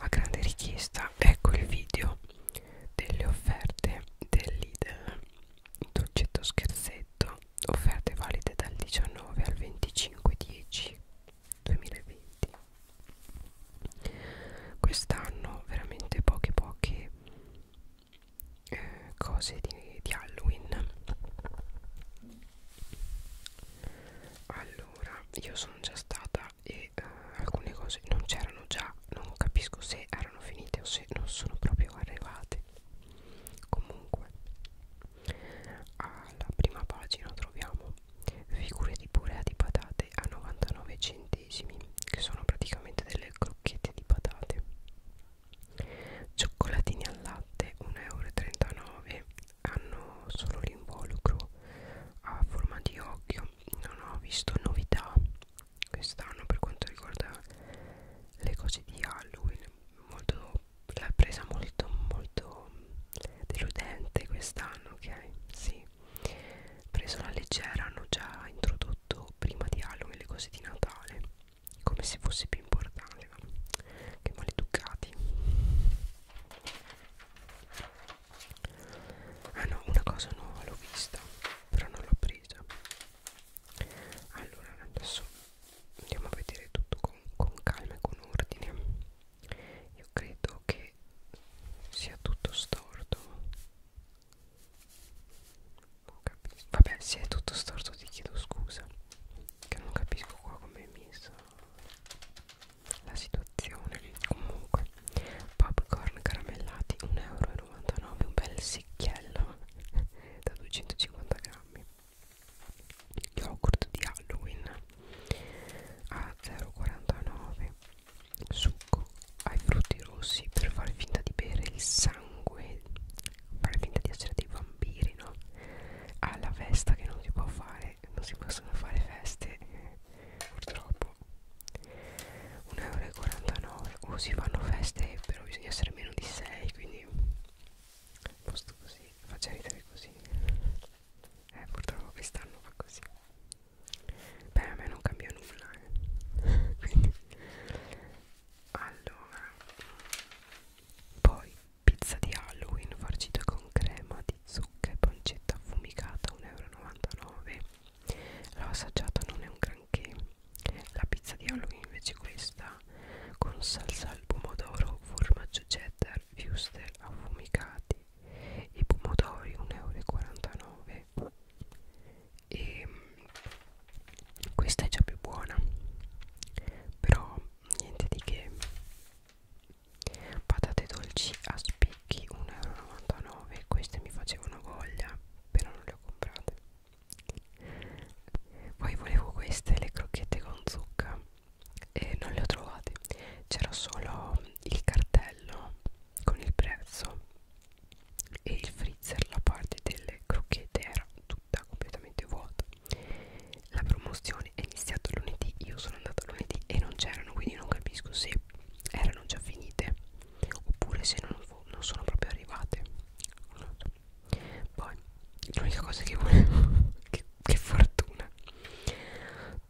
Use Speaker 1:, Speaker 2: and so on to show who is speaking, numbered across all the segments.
Speaker 1: a grande richiesta ecco il video delle offerte del Lidl dolcetto scherzetto offerte valide dal 19 al 25 10 2020 quest'anno veramente poche poche eh, cose di, di Halloween allora io sono già stata finita e eh, alcune cose non c'erano già non capisco se erano finite o se non sono proprio arrivate comunque alla prima pagina troviamo figure di purea di patate a 99 centesimi che sono praticamente delle crocchette di patate cioccolatini al latte 1,39 euro hanno solo l'involucro a forma di occhio non ho visto novità quest'anno per quanto riguarda le cose di Halloween molto l'ha presa molto molto deludente quest'anno ok sì preso la leggera hanno già introdotto prima di Halloween le cose di Natale come se fosse più importante che maleducati ah no una cosa no l'ho vista però non l'ho presa allora adesso andiamo a vedere tutto con, con calma e con ordine io credo che sia tutto storto non capisco vabbè se è tutto storto ti chiedo scusa che non capisco qua come è messo la situazione comunque popcorn caramellati 1,99 euro un bel secchiello da 250 grammi yogurt di Halloween a 0,49 succo ai frutti rossi per far finta di bere il sangue fare finta di essere dei vampiri no alla festa che non si può fare fare non si possono fare feste eh, purtroppo 1,49€ o si fanno feste però bisogna essere meno di 6 quindi posto così faccia ridere così eh purtroppo quest'anno fa così beh a me non cambia nulla eh. quindi allora poi Pizza di Halloween farcita con crema di zucca e pancetta affumicata 1,99 euro L'ho assaggiata, non è un granché La pizza di Halloween invece questa Con salsa al pomodoro, formaggio cheddar, fuster affumicati I pomodori 1,49 euro E mm, questa è già più buona Però niente di che patate dolci a spicchi 1,99€ queste mi facevano voglia però non le ho comprate poi volevo queste le crocchette con zucca e non le ho trovate c'era solo il cartello con il prezzo e il freezer la parte delle crocchette era tutta completamente vuota la promozione è iniziata lunedì io sono andata lunedì e non c'erano quindi non capisco se erano già finite oppure se non, non sono proprio arrivate non so. poi l'unica cosa che volevo che, che fortuna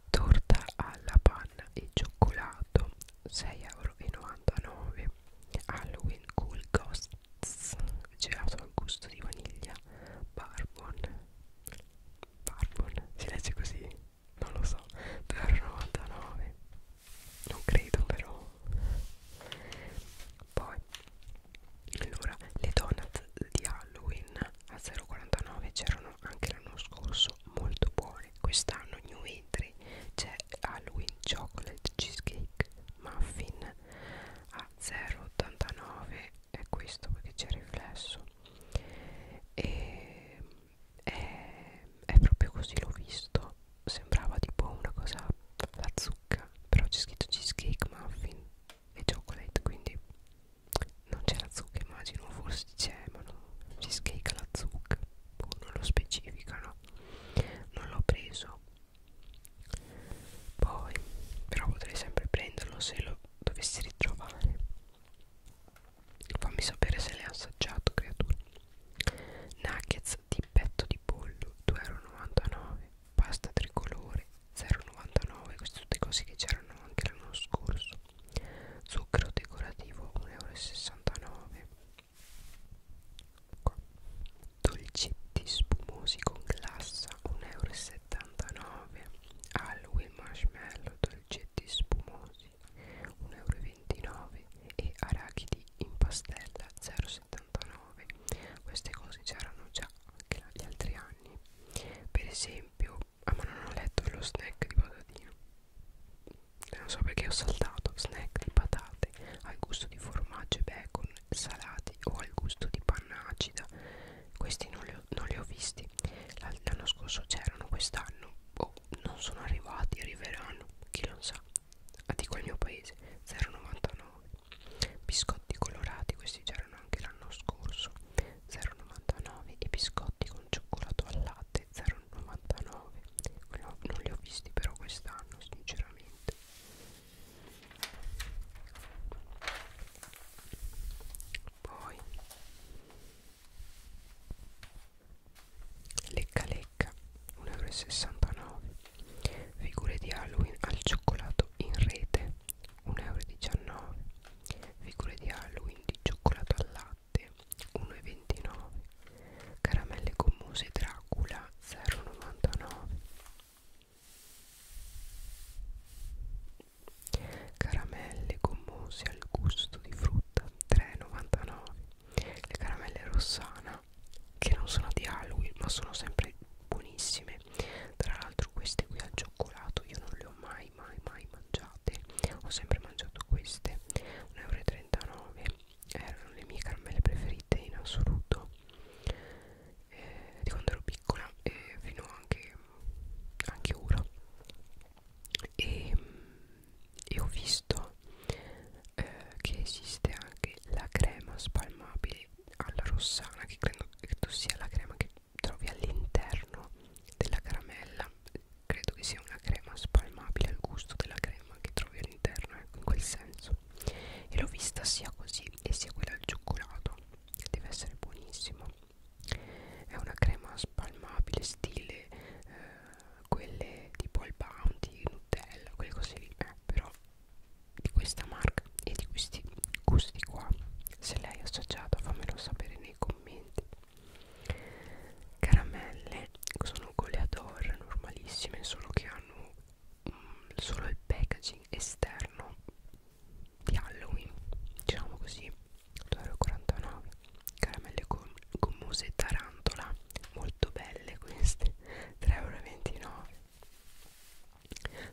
Speaker 1: torta alla panna e cioccolato 6,99€ Halloween Cool Ghosts gelato al gusto di vaniglia barbon Barbon si legge così? Non lo so, 2,99 non credo però poi allora le donut di Halloween a 0,49 c'erano anche l'anno scorso molto buone quest'anno new entry c'è Halloween chocolate cheesecake muffin a a 0,89 è questo perché c'è il riflesso e è, è proprio così l'ho visto sembrava tipo una cosa la zucca però c'è scritto cheesecake muffin e chocolate quindi non c'è la zucca immagino forse c'è ma no cheesecake alla zucca boh, non lo specificano non l'ho preso poi però potrei sempre prenderlo se lo dovessi ritrovare fammi sapere se le hai assaggiato creatura nuggets di petto di pollo 2,99€ pasta tricolore 0,99 queste tutte cose che c'erano anche l'anno scorso zucchero decorativo 1,69€ Qua. dolcetti spumosi con glassa 1,79 euro Halloween marshmallow dolcetti spumosi 1,29 euro e arachidi in pastella 0,79 queste cose c'erano già anche gli altri anni per esempio ah ma non ho letto lo snack di patatino non so perché ho saltato snack di patate al gusto di formaggio e bacon salati o al gusto di panna acida questi non li ho, non li ho visti l'anno scorso c'erano quest'anno oh, non sono arrivati arriveranno chi lo sa a ah, dico il mio paese 0,99 biscotti colorati questi c'erano anche l'anno scorso 0,99 e biscotti con cioccolato al latte 0,99 non li ho visti però quest'anno sinceramente poi lecca lecca 1,69 euro figure di Halloween al cioccolato in rete 1,19 euro figure di Halloween di cioccolato al latte 1,29 caramelle gommose Dracula 0,99 Caramelle gommose al gusto di frutta 3,99 Le caramelle rossana che non sono di Halloween ma sono sempre buonissime Tra l'altro queste qui al cioccolato io non le ho mai mai mai mangiate Ho sempre mangiato queste 1,39 euro Erano le mie caramelle preferite in assoluto eh, di quando ero piccola e fino anche, anche ora e, e ho visto eh, che esiste anche la crema spalmabile alla rossana che credo, credo sia la crema che trovi all'interno della caramella credo che sia una crema spalmabile al gusto della crema che trovi all'interno ecco in quel senso e l'ho vista sia così e sia quella al cioccolato deve essere buonissimo è una crema spalmabile stile eh, quelle tipo il bounty nutella quelle cose lì eh, però di questa marca e di questi gusti qua se l'hai assaggiata fammelo sapere nei commenti caramelle sono goleador normalissime solo che hanno mh, solo il packaging esterno di Halloween diciamo così 2,49€ caramelle gommose tarantola molto belle queste 3,29€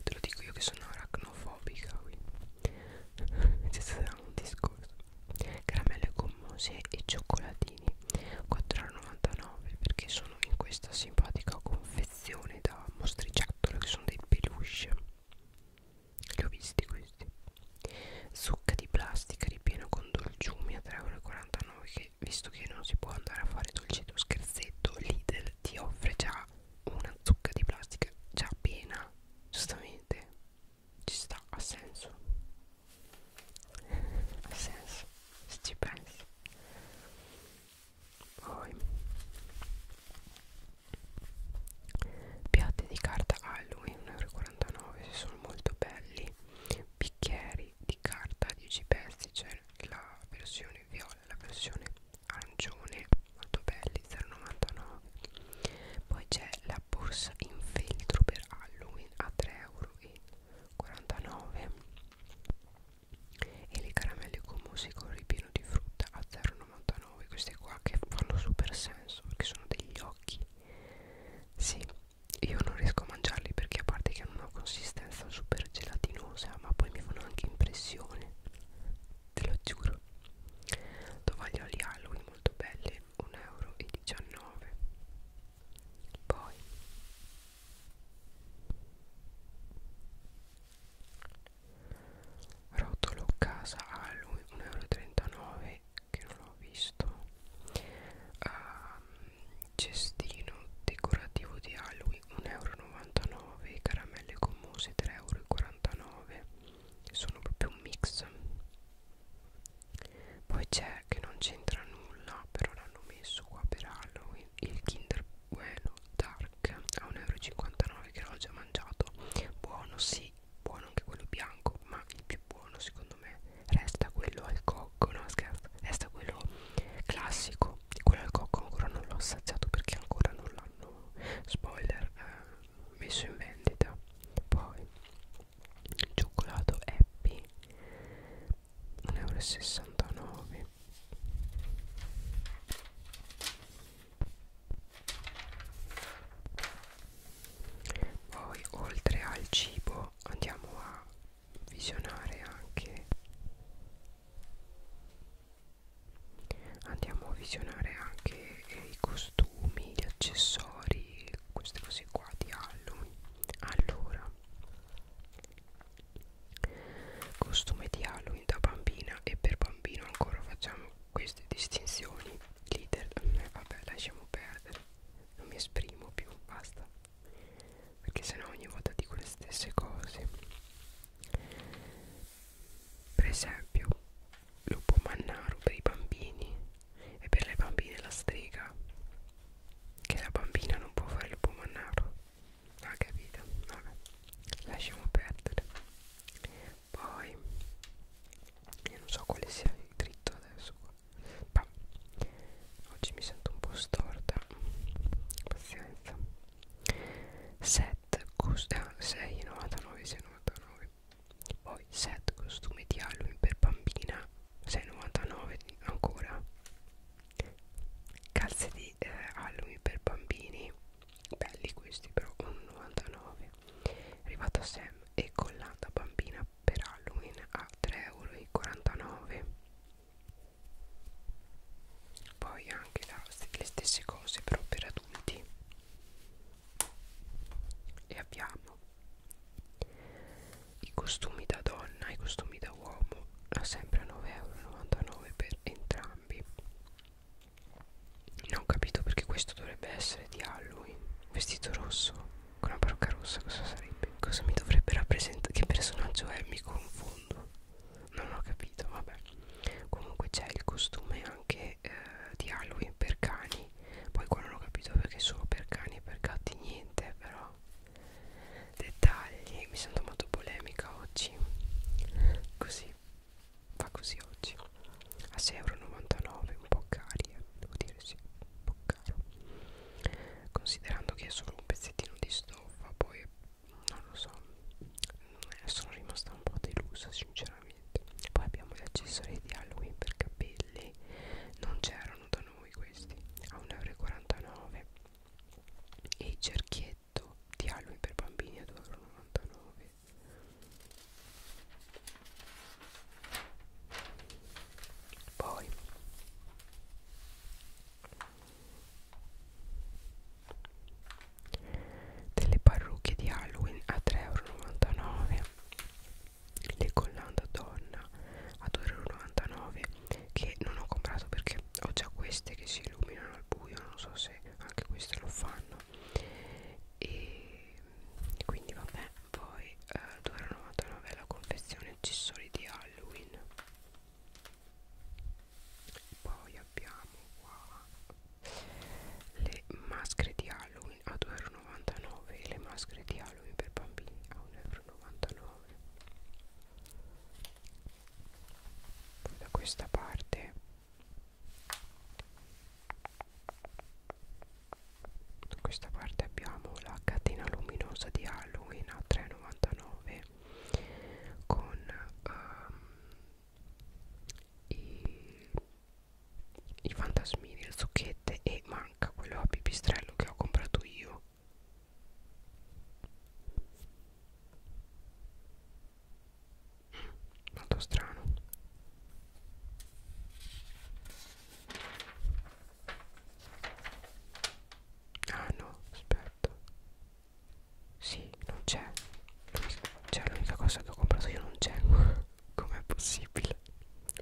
Speaker 1: te lo dico io che sono aracnofobica quindi ci sarà un discorso caramelle gommose e cioccolatini 4,99€ perché sono in questa simpatica confezione confezione da mostriciattolo che sono dei peluche li ho visti questi zucca di plastica ripieno con dolciumi a 3,49€ che visto che non si può andare a fare dolcetto scherzetto Lidl ti offre già una zucca di plastica già piena giustamente ci sta ha senso ha senso se ci pensi poi piatti di carta Halloween 1,49€ se sono molto belli bicchieri di carta 10 pezzi c'è cioè la versione viola la versione arancione molto belli 0,99 poi c'è la borsa in feltro per Halloween a 3,49€ e le caramelle con musica un ripieno di frutta a 0,99 queste qua che fanno super senso perché sono degli occhi sì io non riesco a mangiarli perché a parte che hanno una consistenza super gelatinosa ma poi mi fanno anche impressione te lo giuro tovaglioli Halloween molto belli 1,19 euro poi Rotolo casa a lui 1,39 euro che non l'ho visto um, Cestino decorativo di Halloween 1,99 euro Caramelle commose 3,49 euro Sono proprio un mix Poi c'è che non c'entra nulla però l'hanno messo qua per Halloween poi il Kinder Bueno Dark a 1,59€ che l'ho già mangiato buono sì buono anche quello bianco ma il più buono secondo me resta quello al cocco no scherzo resta quello classico quello al cocco ancora non l'ho assaggiato perché ancora non l'hanno spoiler eh, messo in vendita poi il cioccolato happy 1,69€ poi oltre al cibo andiamo a visionare anche andiamo a visionare anche eh, i costumi gli accessori queste cose qua di Halloween allora costume di Halloween da bambina e per bambino ancora facciamo queste distinzioni leader eh, vabbè lasciamo perdere non mi esprimo più basta perché sennò ogni volta dico le stesse cose per esempio lupo mannaro per i bambini e per le bambine la strega che la bambina non può fare il pomannaro ho capito vabbè lasciamo perdere poi io non so quale sia il dritto adesso qua ma oggi mi sento un po' storta pazienza 7 costa 6,99 6,99 poi set costume di Halloween per bambina 6,99 ancora calze di eh, Halloween per bambini belli questi però 1,99 arrivata Sam e collata bambina per Halloween a 3,49€ poi anche la, le stesse cose però per adulti e abbiamo i costumi da donna i costumi da uomo a sempre 9,99€ per entrambi non ho capito perché questo dovrebbe essere di Halloween vestito rosso con la parrucca rossa cosa sarebbe cosa mi dovrebbe rappresentare che personaggio è mi confondo non ho capito vabbè comunque c'è il costume anche eh, di Halloween per cani poi qua non ho capito perché solo per cani e per gatti niente però dettagli mi sento molto polemica oggi così fa così oggi a 6,99€ un po' cari eh, devo dire sì un po' caro considerando che è solo un pezzettino di stoffa poi non lo so mm, sono rimasta un po' delusa sinceramente poi abbiamo gli accessori di Halloween per capelli non c'erano da noi questi a 1,49€ e il cerchietto di albumi per bambini a 2,99 euro poi delle parrucche di Halloween a 3,99 euro le collanda donna a 2,99 euro che non ho comprato perché ho già queste che si illuminano al buio non so se anche queste lo fanno e quindi vabbè poi eh, 2,99 la confezione accessori di Halloween poi abbiamo qua le maschere di Halloween a 2,99 e le maschere di Halloween per bambini a 1,99 euro poi da questa parte da questa parte abbiamo la catena luminosa di Halloween a 3,99 con um, i, i fantasmini, le zucchette e manca quello a pipistrello che ho comprato io molto strano ah no aspetta sì non c'è c'è cioè, l'unica cosa che ho comprato io non c'è com'è possibile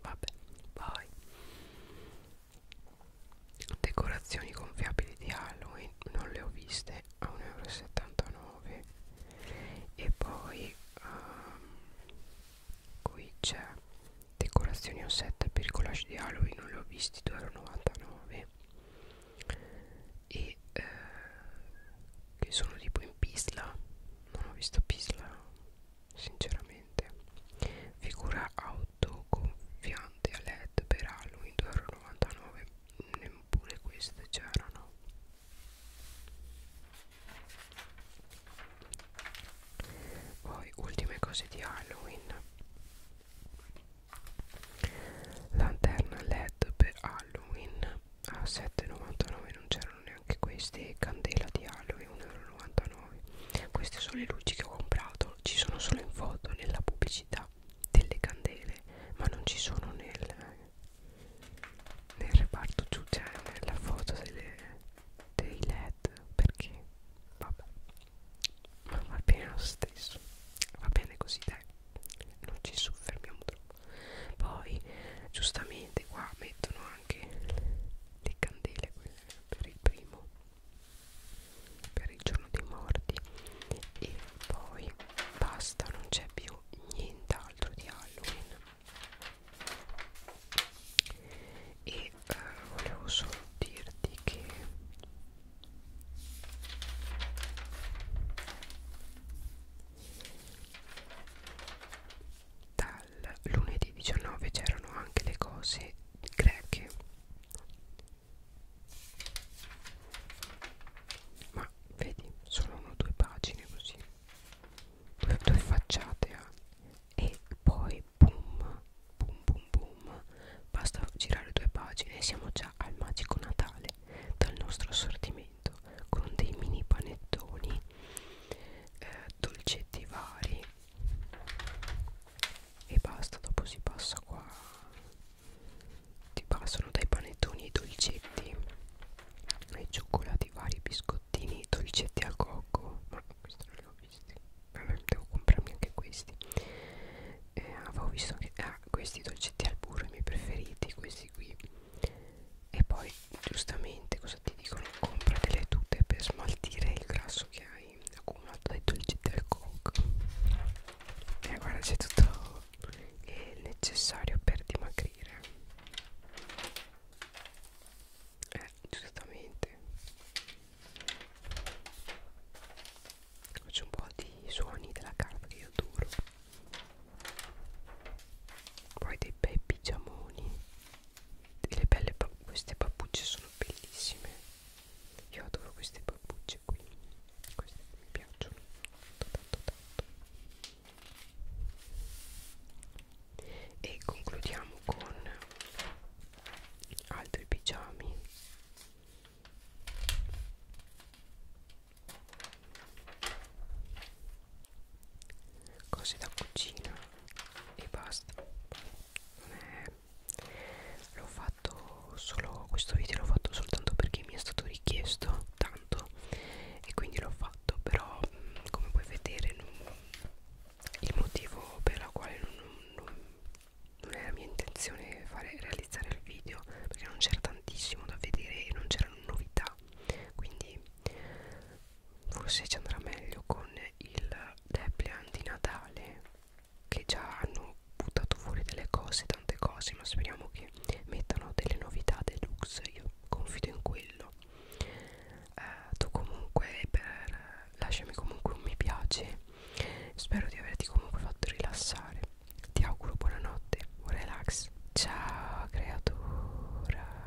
Speaker 1: vabbè vai decorazioni gonfiabili di Halloween non le ho viste a 1,79 euro e poi um, qui c'è decorazioni ossette per il collage di Halloween non le ho visti 2,99 euro e eh, che sono tipo in Pisla non ho visto Pisla sinceramente figura out prodotto gonfiante a led per Halloween ah, 2,99 neppure queste c'erano poi ultime cose di Halloween lanterna led per Halloween a 7,99 non c'erano neanche queste candela di Halloween 1,99 nuovi queste sono le luci che ho comprato ci sono solo in foto nella pubblicità delle candele ma non ci sono nel nel reparto giù cioè nella foto delle, dei led perché vabbè ma va bene lo stesso va bene così dai non ci soffermiamo troppo poi giustamente qua mettono anche le candele per il primo per il giorno dei morti e poi basta non c'è più nient'altro di Halloween e eh, volevo solo dirti che dai al lunedì 19 c'erano anche le cose greche ma vedi sono due pagine così due, due facciate eh. e poi boom boom boom boom basta girare due pagine e siamo già al magico natale dal nostro assortimento con dei mini panettoni eh, dolcetti vari e basta dopo si passa qua ti passano dai panettoni ai dolcetti ai cioccolati vari biscottini dolcetti al cocco ma questi non li ho visti vabbè devo comprarmi anche questi eh, avevo visto anche ah, questi dolcetti al burro i miei preferiti questi qui e poi giustamente cosa ti dicono compra delle tute per smaltire il grasso che hai hai accumulato dai dolci del coke e eh, guarda c'è tutto il necessario per dimagrire eh giustamente faccio un po' di suoni della carta che io adoro poi dei bei pigiamoni e le belle queste pappucce sono bellissime io adoro queste pappucce qui queste mi piacciono tanto tanto tanto e concludiamo con altri pigiami cose da cucina e basta non eh, è l'ho fatto solo questo video l'ho fatto soltanto perché mi è stato richiesto tanto e quindi l'ho fatto però mm, come puoi vedere non, il motivo per la quale non, non, non era mia intenzione fare realizzare il video perché non c'era tantissimo da vedere e non c'erano novità quindi forse ci andrà meglio con il Deplian di Natale che già hanno buttato fuori delle cose, tante cose, ma speriamo che mettano delle novità deluxe, io confido in quello. Uh, tu comunque per, lasciami comunque un mi piace, spero di averti comunque fatto rilassare. Ti auguro buonanotte, un relax. Ciao creatura.